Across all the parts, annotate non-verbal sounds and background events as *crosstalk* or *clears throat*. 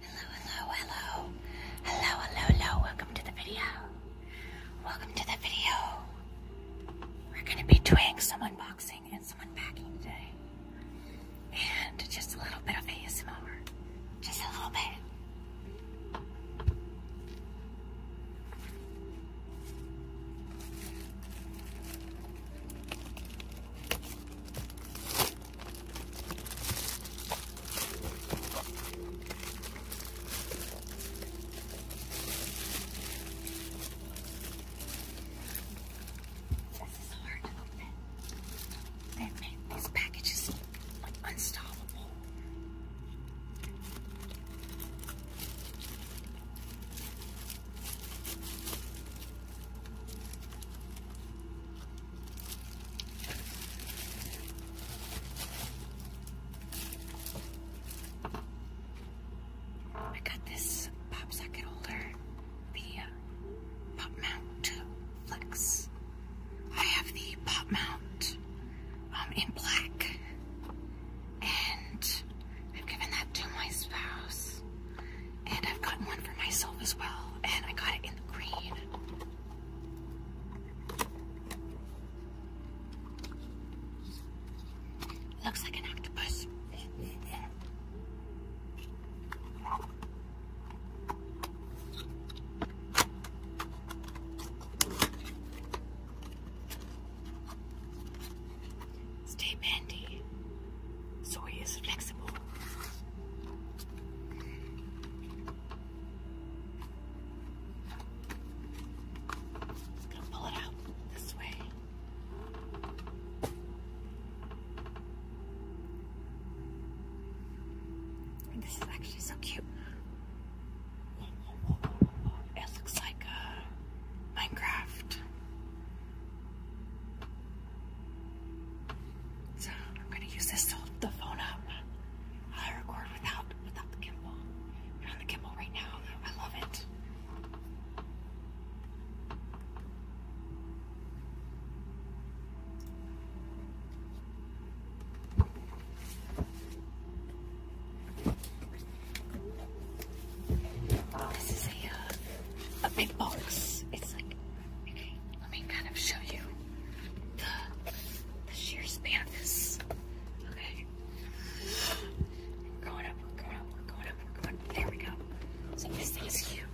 hello, hello. Hello, hello, hello. Welcome to the video. Welcome to the video. We're going to be doing some unboxing and some unpacking today. And just a little bit of ASMR. Just a little bit. This is hard to open. They make these packages like unstoppable. I got this pop socket holder, the uh, pop mount flex. I have the pop mount um, in black, and I've given that to my spouse. And I've gotten one for myself as well. And I got it in the green. Looks like an octopus. Stay bendy. Soy is flexible. Just gonna pull it out this way. this is actually so cute. It looks like Minecraft. So I'm going to use this to hold the phone up. i record without without the gimbal. We're on the gimbal right now. I love it. Oh, this is a, uh, a big box. It's like Okay, let me kind of show you the, sheer span of this. Okay. We're going up, we're going up, we're going up, we're going up. There we go. So this thing is huge.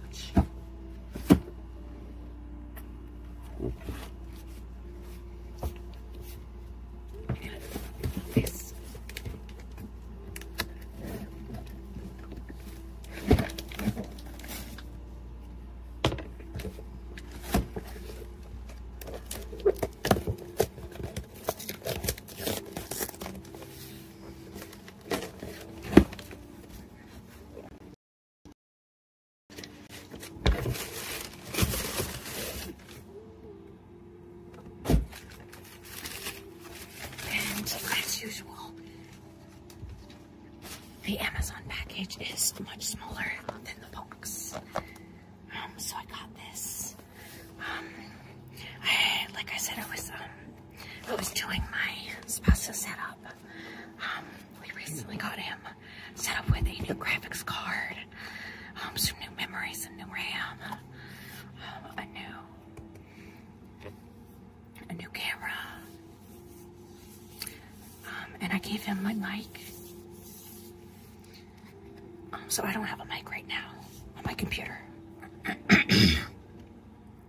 This as usual, the Amazon package is much smaller than the box. Um, so I got this. Um, like I said, I was, um, I was doing my Spasso setup. we recently got him set up with a new graphics card, some new memory, some new RAM, a new a new camera. Um, and I gave him my mic. Um, so I don't have a mic right now on my computer. *coughs*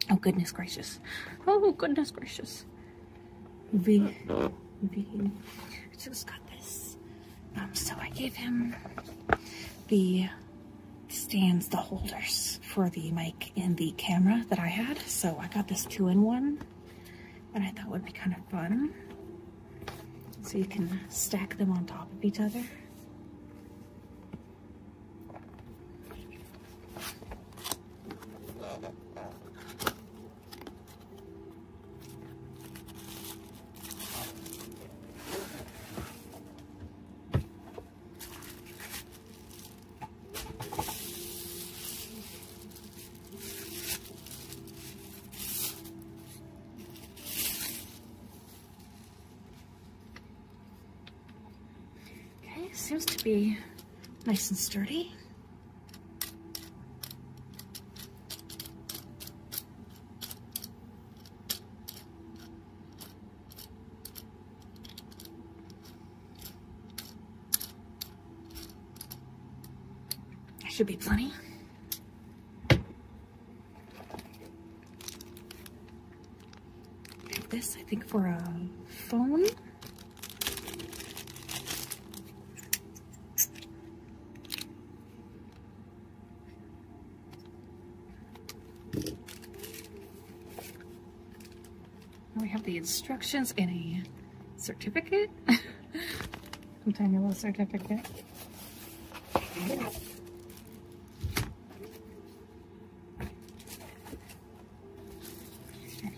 oh, goodness gracious. Oh, goodness gracious. V. V. Just got this. Um, so I gave him the stands, the holders for the mic in the camera that I had. So I got this two in one that I thought would be kind of fun. So you can stack them on top of each other. Okay, seems to be nice and sturdy. That should be plenty. this, I think, for a phone. And we have the instructions and a certificate. Some *laughs* tiny little certificate. And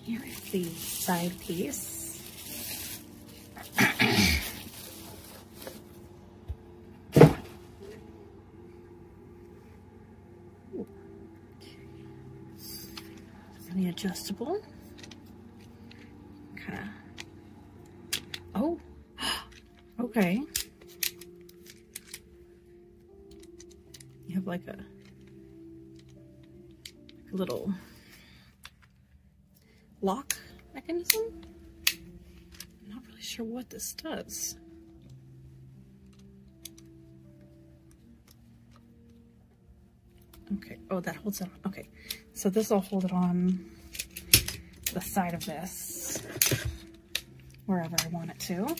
here is the side piece. Really adjustable. Kind of. Oh, *gasps* okay. You have like a, like a little lock mechanism. I'm not really sure what this does. Okay, oh, that holds on. Okay, so this will hold it on the side of this, wherever I want it to.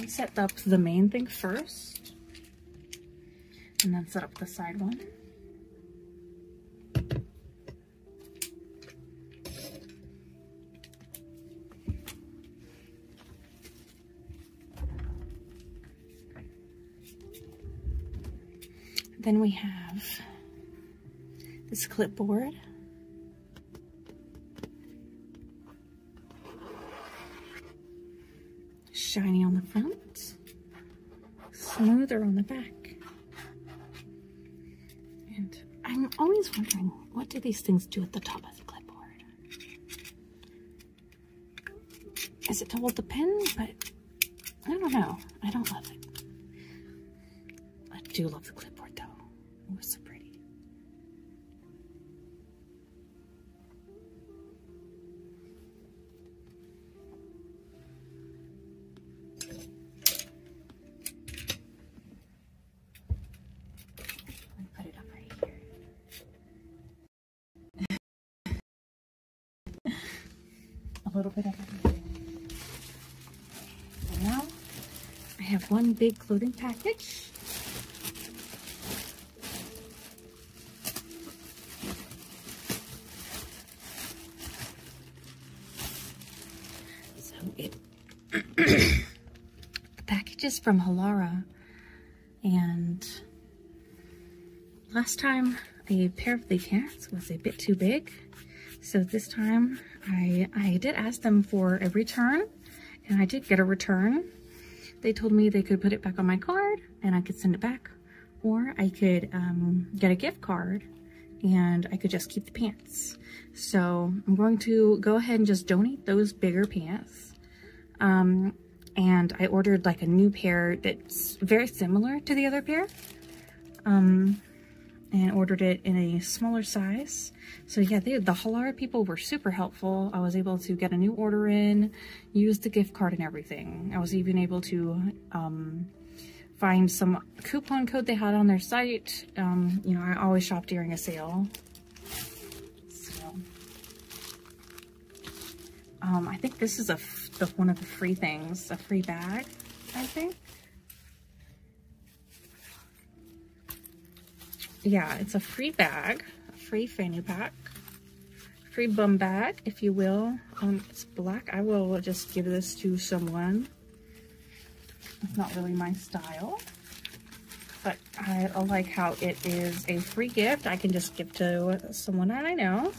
I set up the main thing first, and then set up the side one. Then we have this clipboard. Shiny on the front, smoother on the back. And I'm always wondering, what do these things do at the top of the clipboard? Is it to hold the pen? But I don't know. I don't love it. I do love the clipboard though. It was so pretty. *laughs* A little bit of everything. now I have one big clothing package. So it *clears throat* the package is from Halara. And last time a pair of the pants was a bit too big. So this time I, I did ask them for a return and I did get a return. They told me they could put it back on my card and I could send it back or I could um, get a gift card and I could just keep the pants. So I'm going to go ahead and just donate those bigger pants. Um, and I ordered like a new pair that's very similar to the other pair. Um, and ordered it in a smaller size. So yeah, the Halara people were super helpful. I was able to get a new order in, use the gift card and everything. I was even able to um, find some coupon code they had on their site. you know, I always shop during a sale um, I think this is a one of the free things, a free bag, I think. Yeah, it's a free bag, a free fanny pack, free bum bag, if you will. Um, it's black. I will just give this to someone. It's not really my style, but I like how it is a free gift. I can just give to someone I know.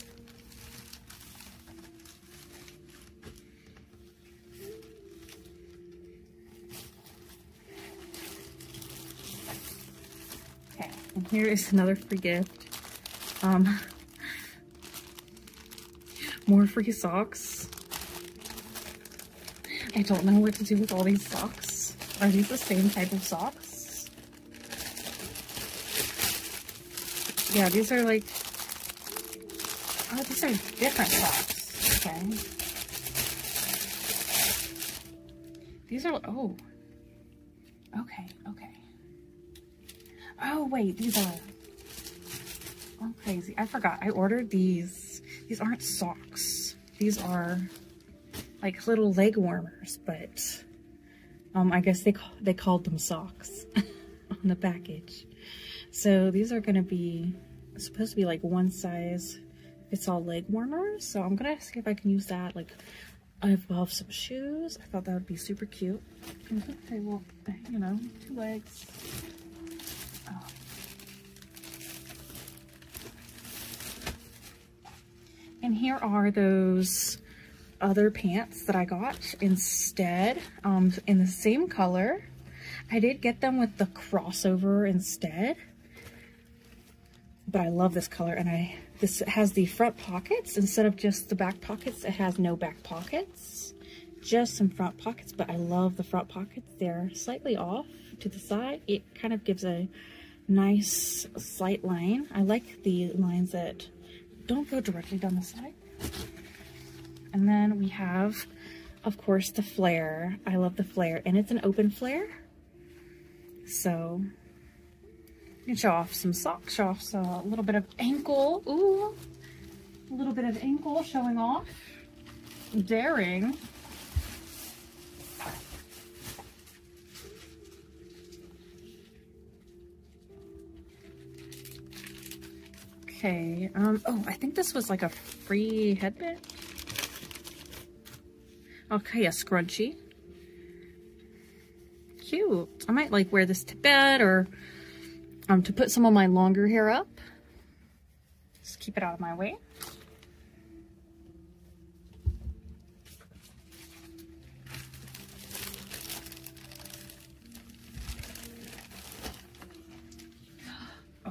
Okay, and here is another free gift. Um, *laughs* more free socks. I don't know what to do with all these socks. Are these the same type of socks? Yeah, these are like... Oh, these are different socks. Okay. These are... Oh. Okay, okay. Oh, wait, these are... I'm oh, crazy. I forgot. I ordered these. These aren't socks these. are like little leg warmers, but um, I guess they, they called them socks *laughs* on the package. So these are going to be supposed to be like one size It's all leg warmers. So I'm going to see if I can use that. Like I have some shoes. I thought that would be super cute. I think they you know, two legs. Oh. And here are those other pants that I got instead um, in the same color. I did get them with the crossover instead, but I love this color and I this has the front pockets instead of just the back pockets. It has no back pockets, just some front pockets, but I love the front pockets. They're slightly off to the side. It kind of gives a nice slight line. I like the lines that don't go directly down the side. And then we have, of course, the flare. I love the flare, and it's an open flare. So you show off some socks, show off a little bit of ankle. Ooh, a little bit of ankle showing off daring Okay, um, oh, I think this was like a free headband. Okay, a scrunchie. Cute. I might like wear this to bed or um, to put some of my longer hair up. Just keep it out of my way. *gasps*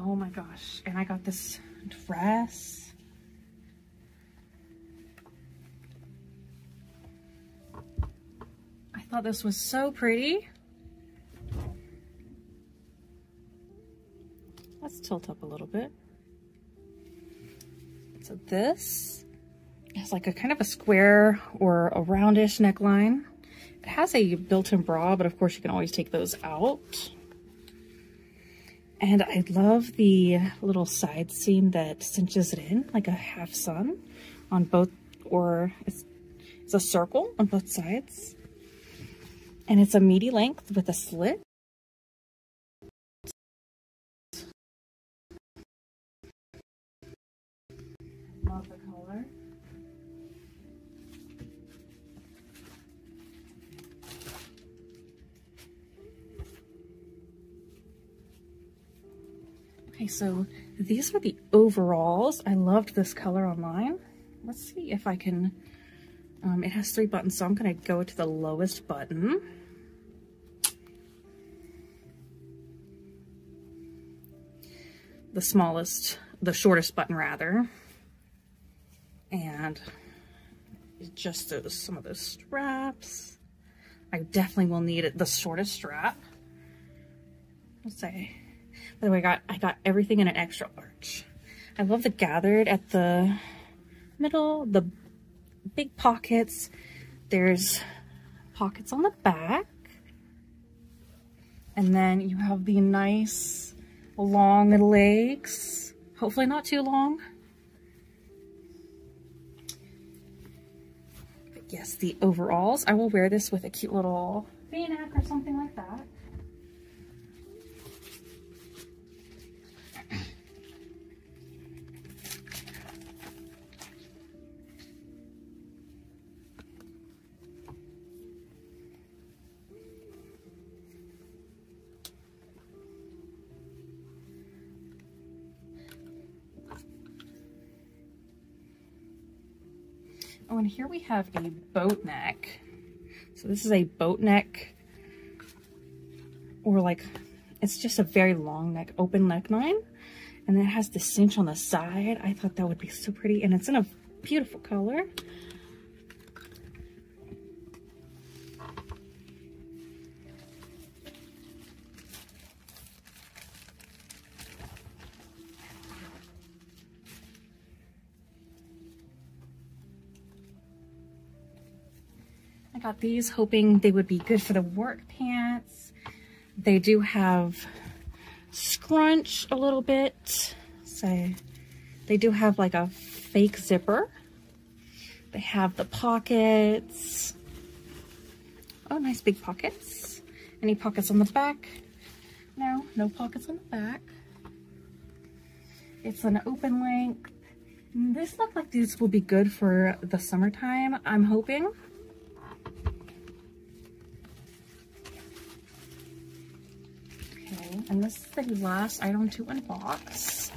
Oh my gosh. And I got this dress. I thought this was so pretty. Let's tilt up a little bit. So this has like a kind of a square or a roundish neckline. It has a built-in bra, but of course you can always take those out. And I love the little side seam that cinches it in, like a half sun on both, or it's a circle on both sides. And it's a meaty length with a slit. Love the color. Okay, so these are the overalls. I loved this color online. Let's see if I can um, it has three buttons, so I'm gonna go to the lowest button. The smallest, the shortest button rather. And just those, some of those straps. I definitely will need it, the shortest strap. Let's say, by the way, I got, I got everything in an extra arch. I love the gathered at the middle, the big pockets. There's pockets on the back. And then you have the nice long legs. Hopefully not too long. yes, the overalls. I will wear this with a cute little v-neck or something like that. Oh, and here we have a boat neck. So this is a boat neck or like, it's just a very long neck, open neckline. And it has the cinch on the side. I thought that would be so pretty. And it's in a beautiful color. I got these hoping they would be good for the work pants. They do have scrunch a little bit. Say, they do have like a fake zipper. They have the pockets. Oh, nice big pockets. Any pockets on the back. No, no pockets on the back. It's an open length. This looked like these will be good for the summertime, I'm hoping. Okay, and this is the last item to unbox.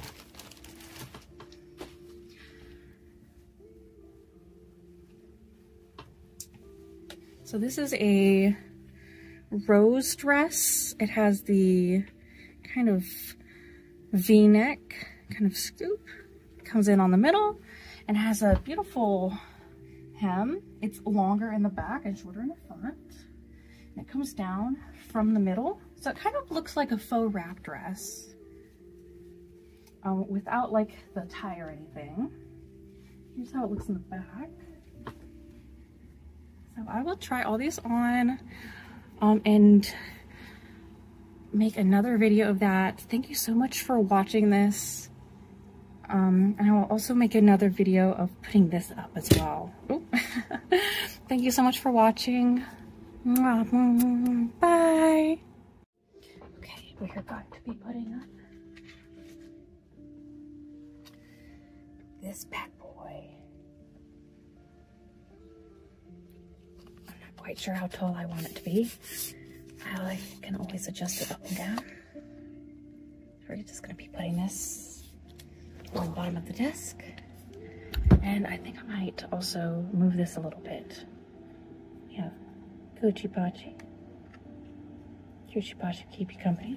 So this is a rose dress. It has the kind of v-neck kind of scoop. Comes in on the middle and has a beautiful hem. It's longer in the back and shorter in the front. it comes down from the middle. So it kind of looks like a faux wrap dress um, without like the tie or anything. Here's how it looks in the back. So I will try all these on um, and make another video of that. Thank you so much for watching this. Um, and I will also make another video of putting this up as well. *laughs* Thank you so much for watching. Bye. Okay, we are going to be putting up this bad boy. I'm not quite sure how tall I want it to be. I can always adjust it up and down. We're just gonna be putting this on the bottom of the desk. And I think I might also move this a little bit. Yeah, Gucci Pachi. Gucci Pachi keep you company.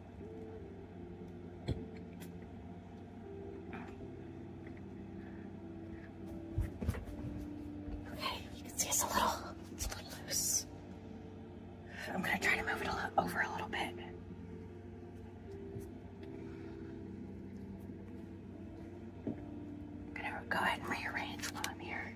Okay, you can see it's a little, it's a little loose. I'm gonna try to move it a over a little bit. gonna go ahead and rearrange while I'm here.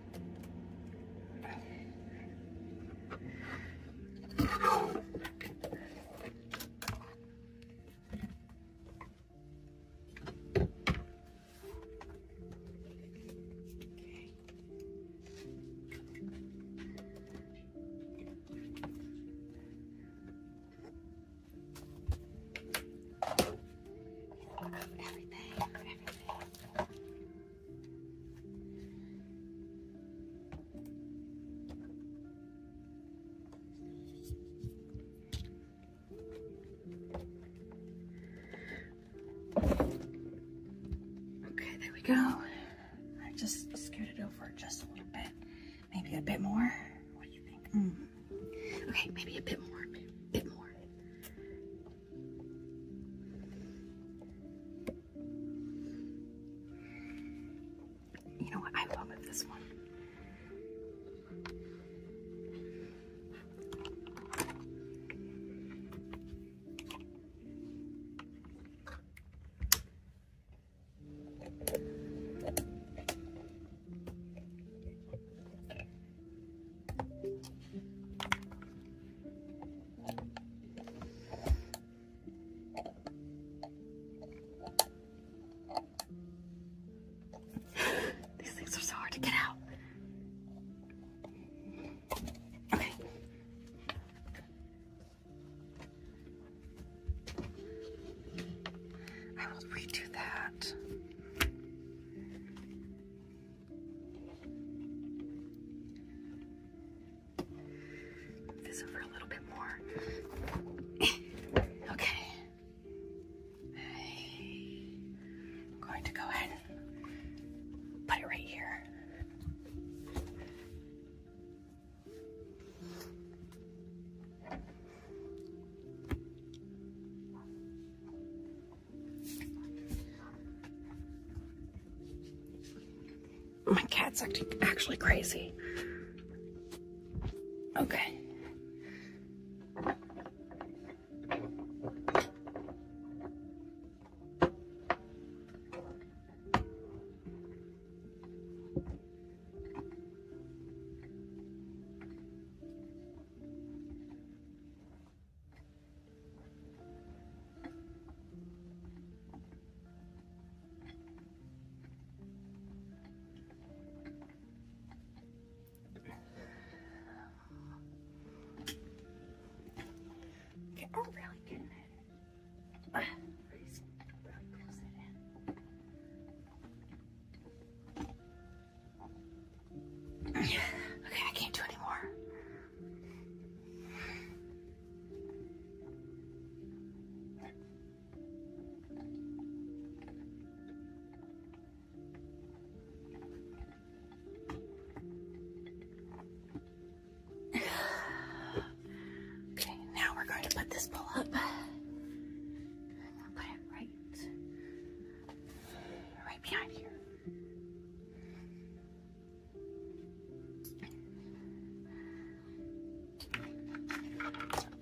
Everything, everything. Okay, there we go. I just scooted over just a little bit. Maybe a bit more. What do you think? Hmm. Okay, maybe a bit more. A bit more. You know what? I love this one. These things are so hard to get out. Okay. I will redo that. This over a little bit more. *laughs* okay. I'm going to go ahead put it right here. My cat's acting actually crazy. Okay. Okay, I'm really getting it. Really close it in. Okay, I can't do anymore. Okay, now we're going to put this bowl up. Put it right, right behind here.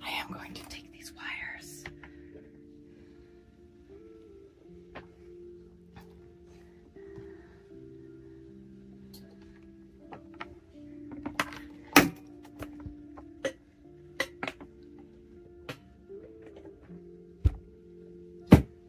I am going to take these wires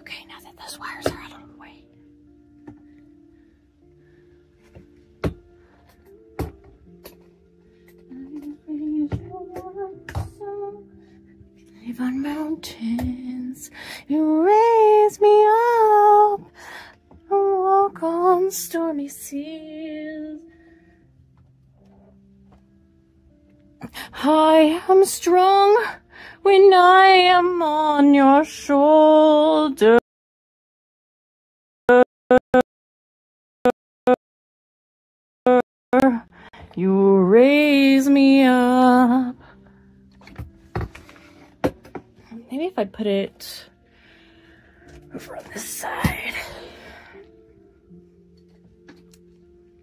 Okay, now that those wires are out of the way. Live on mountains, you raise me up walk on stormy seas. I am strong when I am on your shoulder. You raise me up. Maybe if I put it over on this side.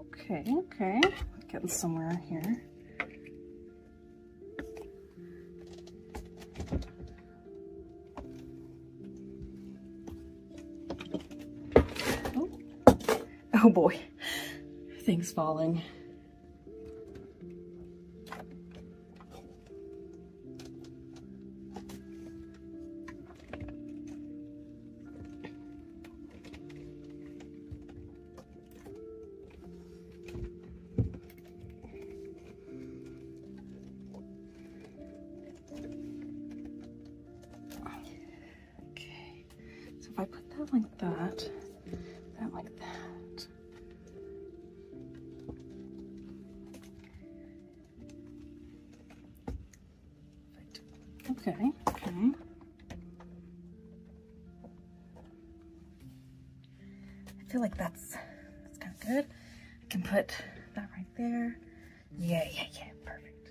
Okay, okay, getting somewhere here. Oh. Oh boy, things falling. Okay, so if I put that like that, that like that. Okay, okay. I feel like that's that's kind of good. I can put that right there. Yeah, yeah, yeah, perfect.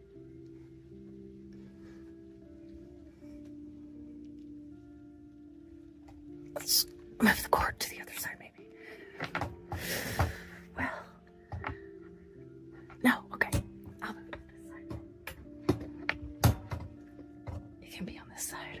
Let's move the cord to the other side, maybe. Well, no, okay. I'll move it to this side. It can be on this side.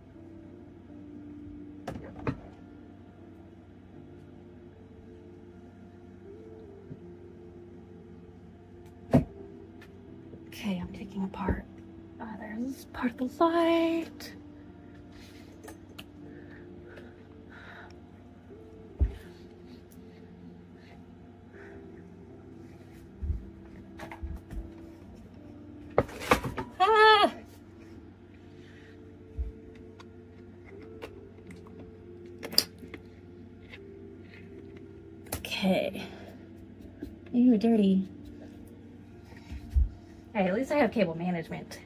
Okay, I'm taking apart. Ah, there's part of the light. Ah! Okay. You are dirty. Hey, at least I have cable management.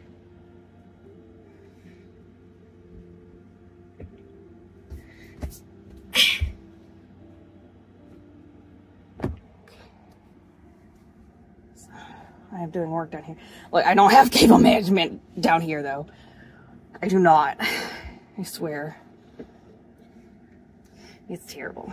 I am doing work down here. I don't have cable management down here, though. I do not. I swear. It's terrible.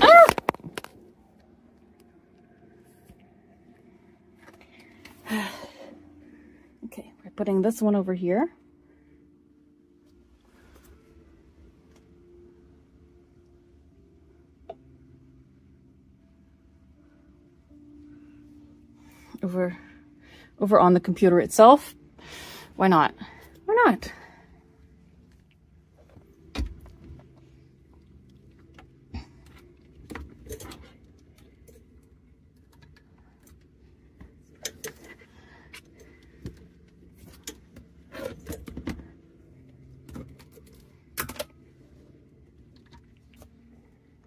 Ah! *sighs* okay, we're putting this one over here. over over on the computer itself. Why not? Why not?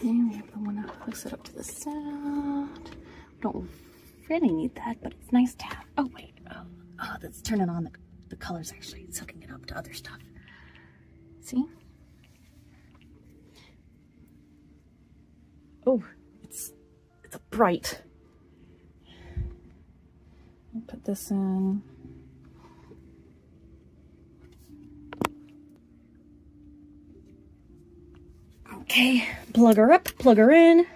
And we have the one that hooks it up to the sound. We don't really need that, but it's nice to have. Oh, wait. Oh, oh that's turning on the, colors, actually. sucking it up to other stuff. See? Oh, it's it's bright. I'll put this in. Okay, plug her up, plug her in.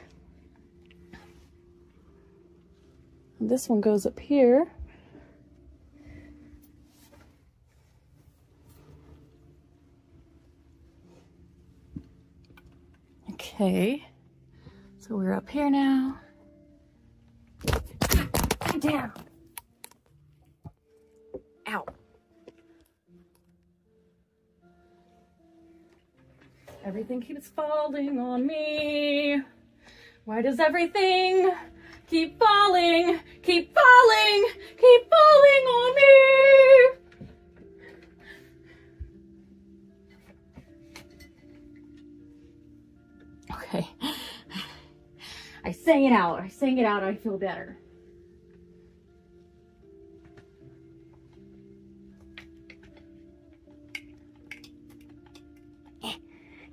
This one goes up here. Okay, so we're up here now. down. Ow. Everything keeps falling on me. Why does everything keep falling, keep falling, keep falling on me? Okay. I sang it out. I sang it out. I feel better.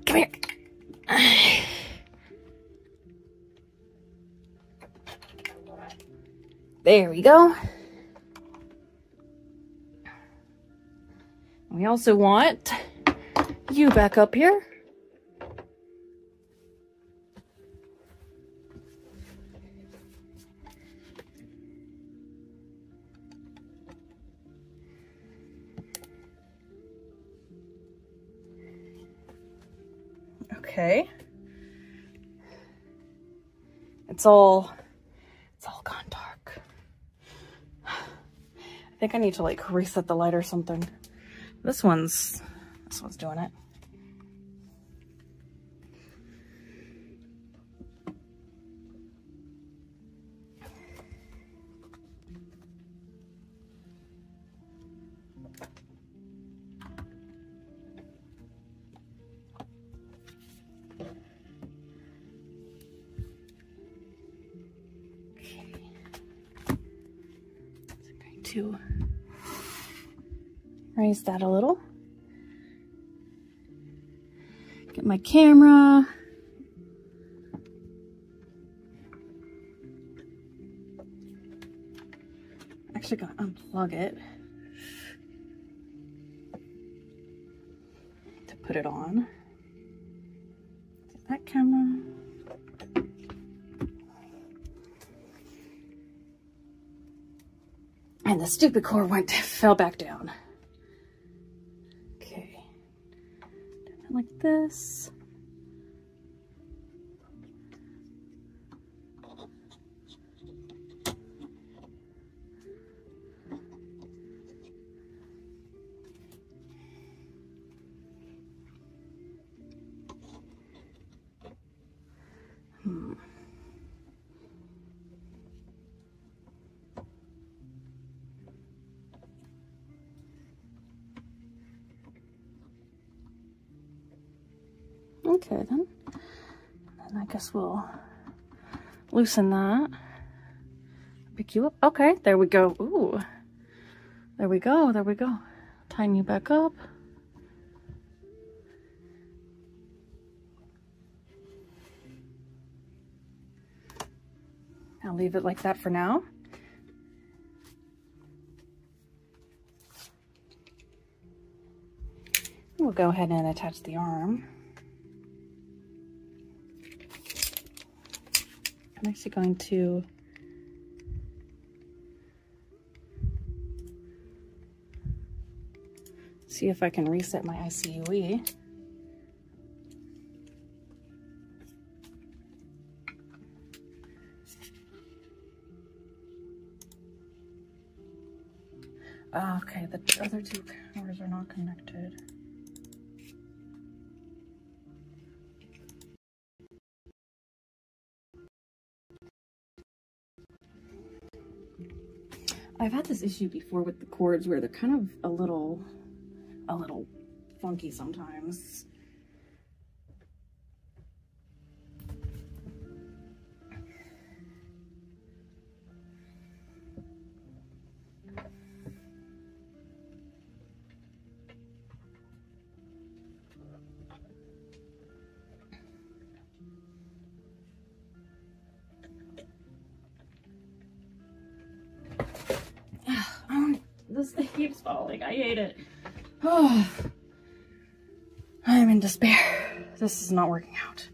Come here. There we go. We also want you back up here. Okay. It's all it's all gone dark. I think I need to like reset the light or something. This one's, this one's doing it going to raise that a little. Get my camera. Actually, gotta unplug it to put it on. that camera. And the stupid cord went, *laughs* fell back down. Okay. like this. Hmm. Okay then. And I guess we'll loosen that. Pick you up. Okay, there we go. Ooh. There we go, there we go. Tighten you back up. I'll leave it like that for now. We'll go ahead and attach the arm. I'm actually going to see if I can reset my ICUE. Ah, okay, the other two powers are not connected. I've had this issue before with the cords where they're kind of a little, a little funky sometimes. *sighs* this thing keeps falling. I hate it. Oh, *sighs* I'm in despair. This is not working out.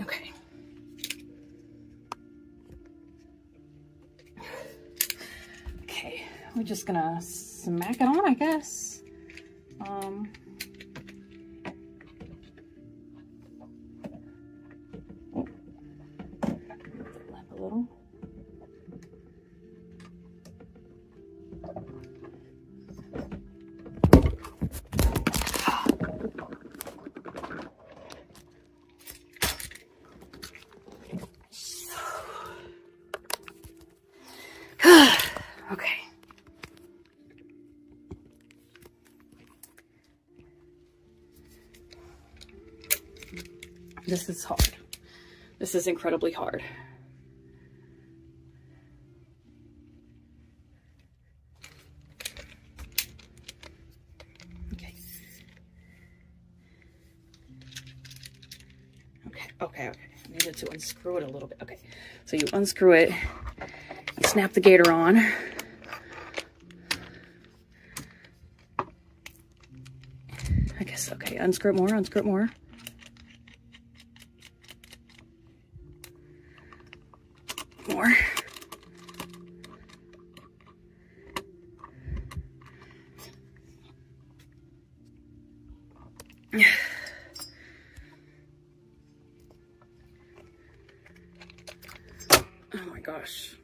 Okay. Okay, we're just gonna smack it on, I guess. Um, a little. *sighs* okay. This is hard. This is incredibly hard. Okay. Okay, okay, okay. I needed to unscrew it a little bit. Okay, so you unscrew it, snap the gator on. I guess, okay, unscrew it more, unscrew it more more. oh my gosh.